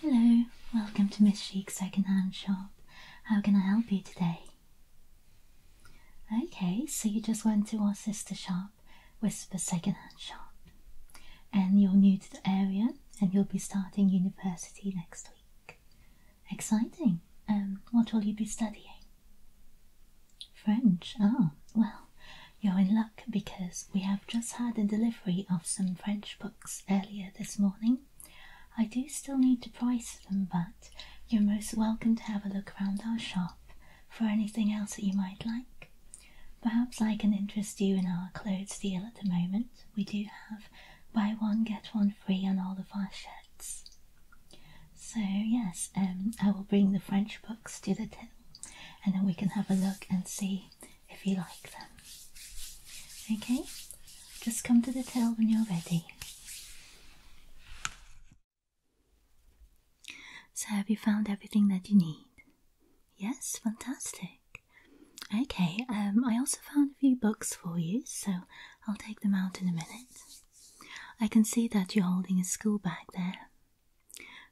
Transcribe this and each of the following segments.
Hello, welcome to Miss Sheik's secondhand shop. How can I help you today? Okay, so you just went to our sister shop, the second-hand Shop, and you're new to the area and you'll be starting university next week. Exciting! Um, what will you be studying? French. Ah, well, you're in luck because we have just had a delivery of some French books earlier this morning. I do still need to price them, but you're most welcome to have a look around our shop for anything else that you might like. Perhaps I can interest you in our clothes deal at the moment. We do have buy one, get one free on all the our So, yes, um, I will bring the French books to the till and then we can have a look and see if you like them. Okay, just come to the till when you're ready. So, have you found everything that you need? Yes, fantastic. Okay, um, I also found a few books for you, so I'll take them out in a minute. I can see that you're holding a school bag there.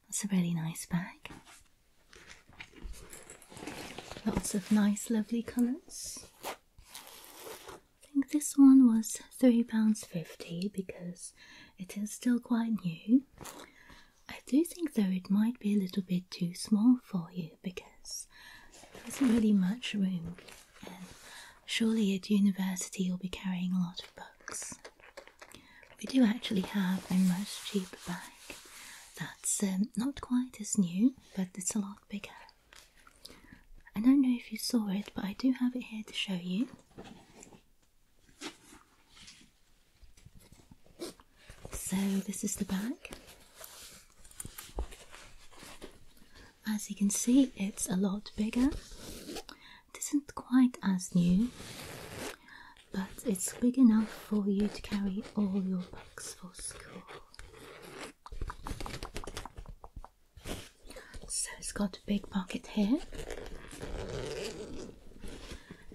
That's a really nice bag. Lots of nice, lovely colours. I think this one was £3.50 because it is still quite new. I do think though it might be a little bit too small for you because there isn't really much room surely at university you'll be carrying a lot of books. We do actually have a much cheaper bag that's um, not quite as new but it's a lot bigger. I don't know if you saw it, but I do have it here to show you. So, this is the bag. As you can see, it's a lot bigger. It isn't quite as new, but it's big enough for you to carry all your books for school. So it's got a big pocket here,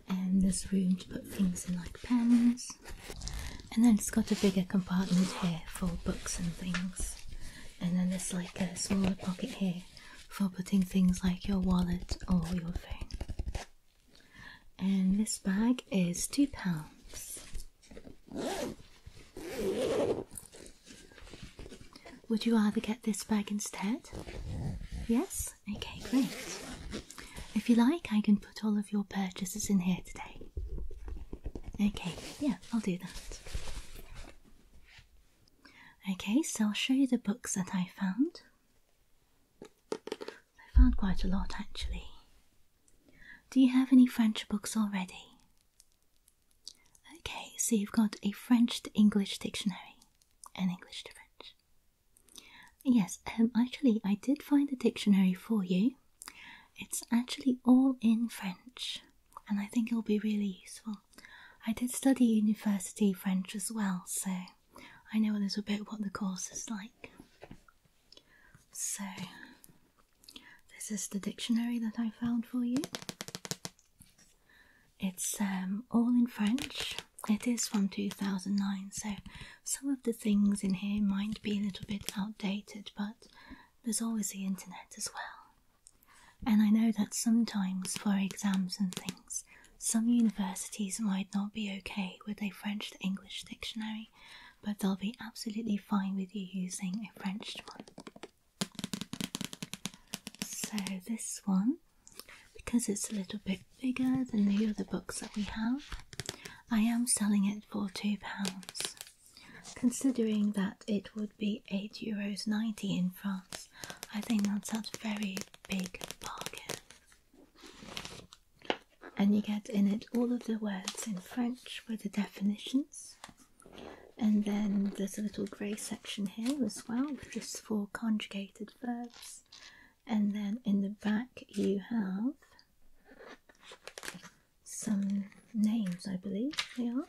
and there's room to put things in like pens, and then it's got a bigger compartment here for books and things, and then there's like a smaller pocket here for putting things like your wallet or your phone. And this bag is £2. Would you rather get this bag instead? Yes? Okay, great. If you like, I can put all of your purchases in here today. Okay, yeah, I'll do that. Okay, so I'll show you the books that I found. I found quite a lot actually. Do you have any French books already? Okay, so you've got a French to English dictionary and English to French. Yes, um, actually, I did find a dictionary for you. It's actually all in French, and I think it'll be really useful. I did study university French as well, so I know a little bit what the course is like. So, this is the dictionary that I found for you. It's um, all in French. It is from 2009, so some of the things in here might be a little bit outdated, but there's always the internet as well. And I know that sometimes for exams and things, some universities might not be okay with a French English dictionary, but they'll be absolutely fine with you using a French one. So this one, because it's a little bit bigger than the other books that we have, I am selling it for £2. Considering that it would be €8.90 in France, I think that's a very big bargain. And you get in it all of the words in French with the definitions. And then there's a little grey section here as well with just four conjugated verbs. And then in the back you have some names, I believe they are.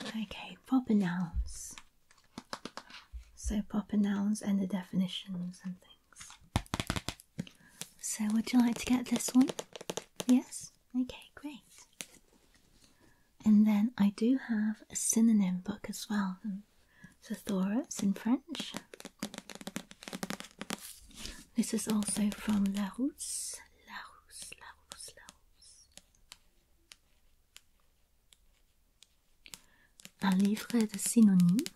Okay, proper nouns. So proper nouns and the definitions and things. So would you like to get this one? Yes? Okay, great. And then I do have a synonym book as well. Um, so Thoros in French. This is also from Larousse. Larousse, Larousse, Larousse. Un livre de synonymes.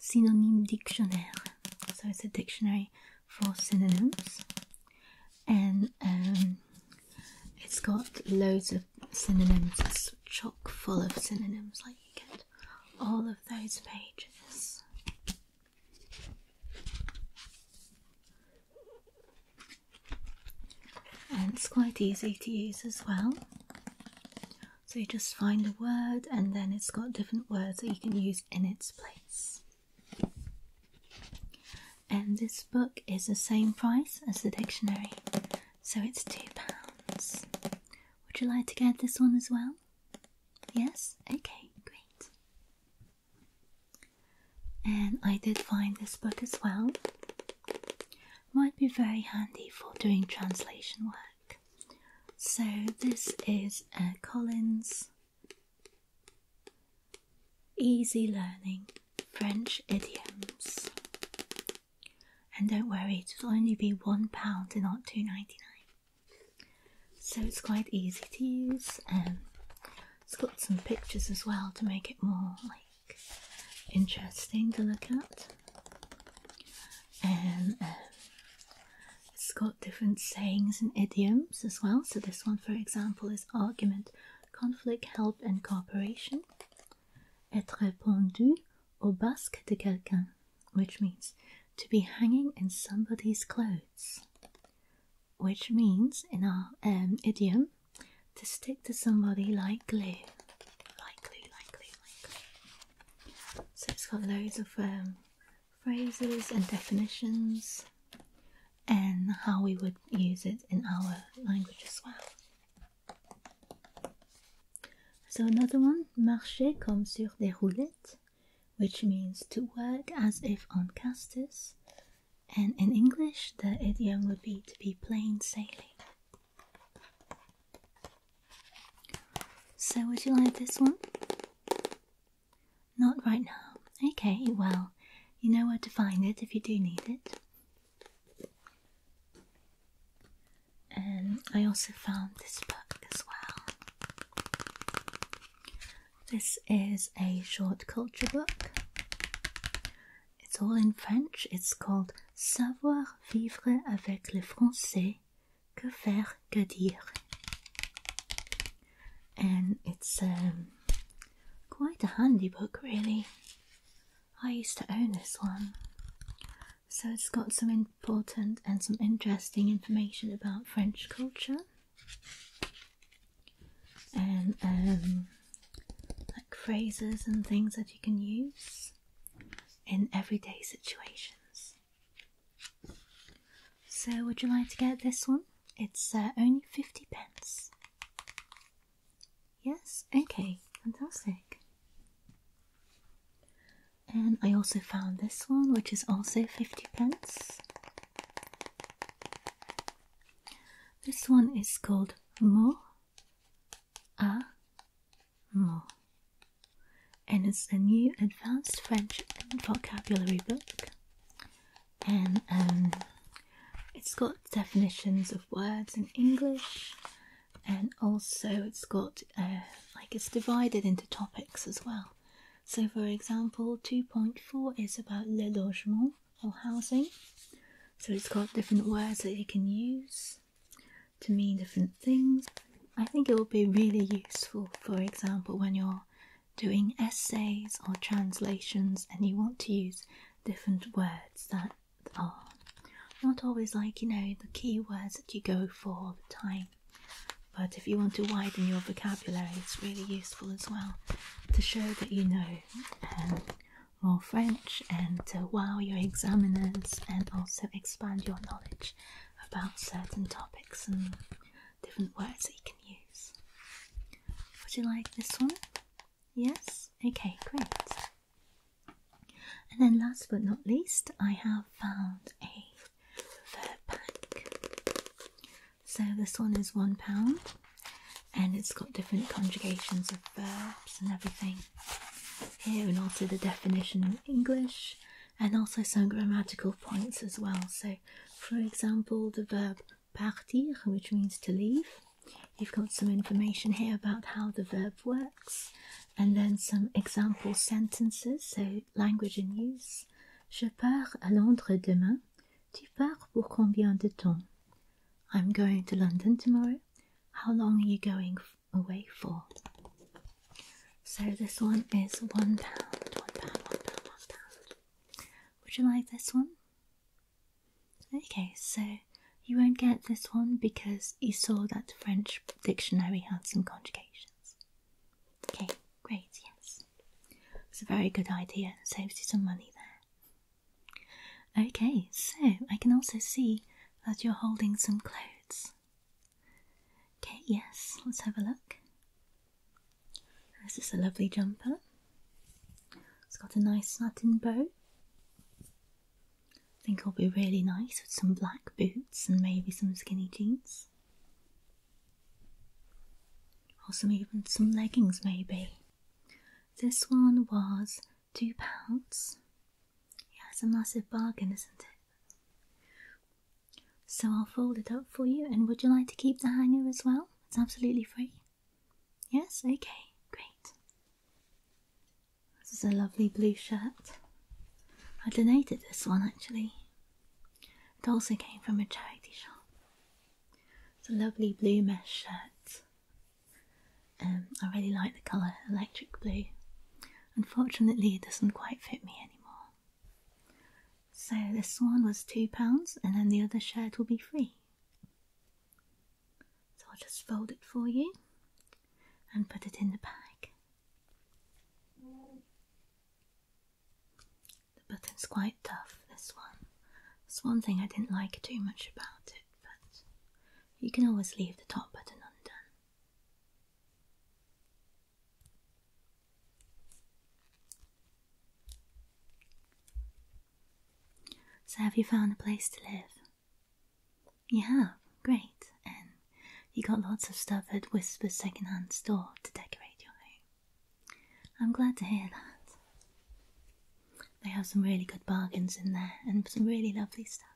Synonyme dictionnaire. So it's a dictionary for synonyms, and um, it's got loads of synonyms. It's chock full of synonyms. Like you get all of those pages. And it's quite easy to use as well. So you just find a word and then it's got different words that you can use in its place. And this book is the same price as the dictionary, so it's £2. Would you like to get this one as well? Yes? Okay, great. And I did find this book as well. Might be very handy for doing translation work. So, this is uh, Collins Easy learning French idioms. And don't worry, it'll only be one pound and not two ninety nine. So it's quite easy to use and um, it's got some pictures as well to make it more like interesting to look at. And um, it's got different sayings and idioms as well. So this one for example is argument conflict, help and cooperation. Être pendu au basque de quelqu'un, which means to be hanging in somebody's clothes. Which means, in our um, idiom, to stick to somebody like glue. Like glue, like glue, like glue. So it's got loads of um, phrases and definitions and how we would use it in our language as well. So another one, marcher comme sur des roulettes, which means to work as if on casters, and in English the idiom would be to be plain sailing. So would you like this one? Not right now. Okay, well, you know where to find it if you do need it. And um, I also found this book as well. This is a short culture book. It's all in French. It's called Savoir vivre avec les français. Que faire, que dire and it's um, quite a handy book, really. I used to own this one. So it's got some important and some interesting information about French culture and um, like phrases and things that you can use in everyday situations. So, would you like to get this one? It's uh, only 50 pence. Yes, okay, fantastic. And I also found this one, which is also 50 pence. This one is called Mo A Mo, and it's a new advanced French vocabulary book and um, it's got definitions of words in English, and also it's got uh, like it's divided into topics as well. So, for example, 2.4 is about le logement or housing, so it's got different words that you can use to mean different things. I think it will be really useful, for example, when you're doing essays or translations and you want to use different words that are not always like you know the key words that you go for all the time but if you want to widen your vocabulary it's really useful as well to show that you know um, more french and to wow your examiners and also expand your knowledge about certain topics and different words that you can use would you like this one Yes? Okay, great. And then last but not least, I have found a third pack. So this one is £1 and it's got different conjugations of verbs and everything here and also the definition in English and also some grammatical points as well. So, for example, the verb partir, which means to leave. You've got some information here about how the verb works, and then some example sentences, so language in use. Je pars à Londres demain. Tu pars pour combien de temps? I'm going to London tomorrow. How long are you going away for? So this one is one pound, one pound, one pound, one pound. Would you like this one? Okay, so you won't get this one because you saw that the French dictionary had some conjugations. Okay, great, yes. It's a very good idea, saves you some money there. Okay, so I can also see that you're holding some clothes. Okay, yes, let's have a look. This is a lovely jumper. It's got a nice satin bow. I think it'll be really nice with some black boots and maybe some skinny jeans. Or some even some leggings maybe. This one was two pounds. Yeah, it's a massive bargain, isn't it? So I'll fold it up for you and would you like to keep the hanger as well? It's absolutely free. Yes, okay, great. This is a lovely blue shirt. I donated this one actually. It also came from a charity shop. It's a lovely blue mesh shirt. Um, I really like the colour electric blue. Unfortunately, it doesn't quite fit me anymore. So this one was £2 and then the other shirt will be free. So I'll just fold it for you and put it in the bag. The button's quite tough, this one. That's one thing I didn't like too much about it, but you can always leave the top button undone. So, have you found a place to live? Yeah, Great. And you got lots of stuff at Whisper's secondhand store to decorate your home. I'm glad to hear that. They have some really good bargains in there and some really lovely stuff.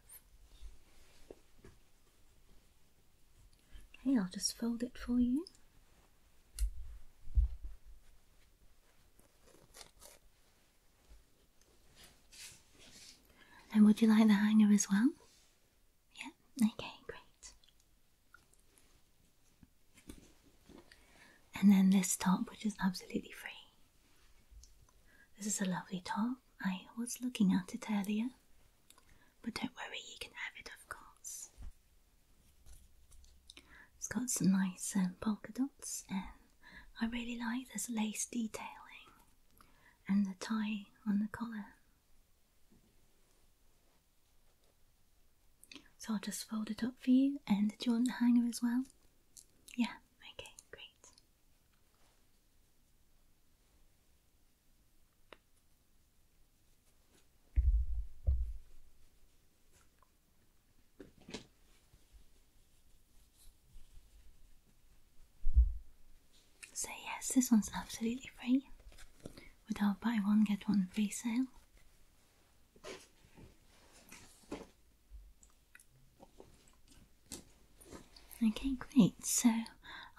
Okay, I'll just fold it for you. And would you like the hanger as well? Yeah, okay, great. And then this top, which is absolutely free. This is a lovely top. I was looking at it earlier, but don't worry, you can have it, of course. It's got some nice um, polka dots, and I really like this lace detailing and the tie on the collar. So I'll just fold it up for you. And do you want the hanger as well? Yeah, okay, great. So yes, this one's absolutely free with our buy one get one free sale. Okay, great. So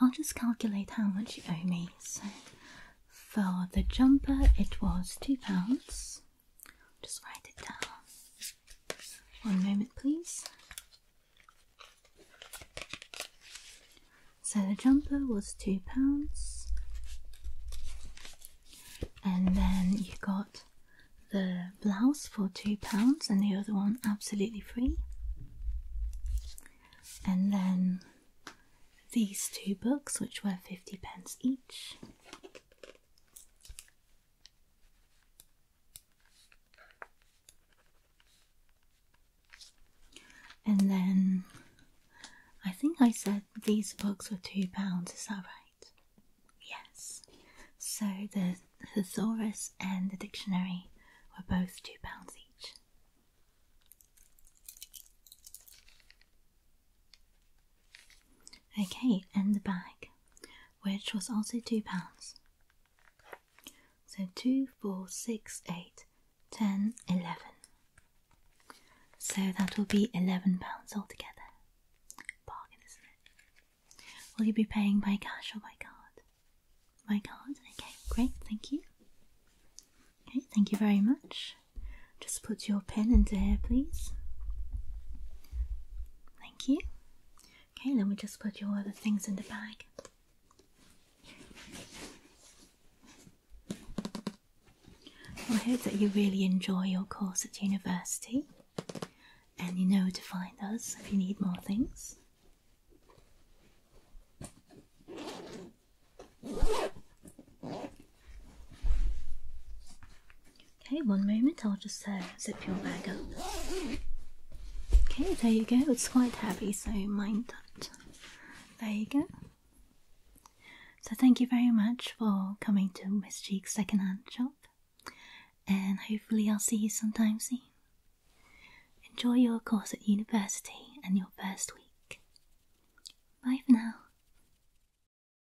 I'll just calculate how much you owe me. So for the jumper, it was two pounds. Just write it down. One moment, please. So the jumper was two pounds, and then you got the blouse for two pounds, and the other one absolutely free. And then these two books, which were 50 pence each. And then I think I said these books were two pounds, is that right? Yes. So the thesaurus and the dictionary were both two pounds each. Okay, and the bag, which was also two pounds. So two, four, six, eight, ten, eleven. So that will be eleven pounds altogether. Bargain, isn't it? Will you be paying by cash or by card? By card. Okay, great. Thank you. Okay, thank you very much. Just put your pen in there, please. Thank you. Okay, let me just put your other things in the bag. I hope that you really enjoy your course at university and you know to find us if you need more things. Okay, one moment, I'll just uh, zip your bag up. Okay, there you go, it's quite heavy, so mind that. There you go. So, thank you very much for coming to Miss Cheek's secondhand shop, and hopefully, I'll see you sometime soon. Enjoy your course at university and your first week. Bye for now.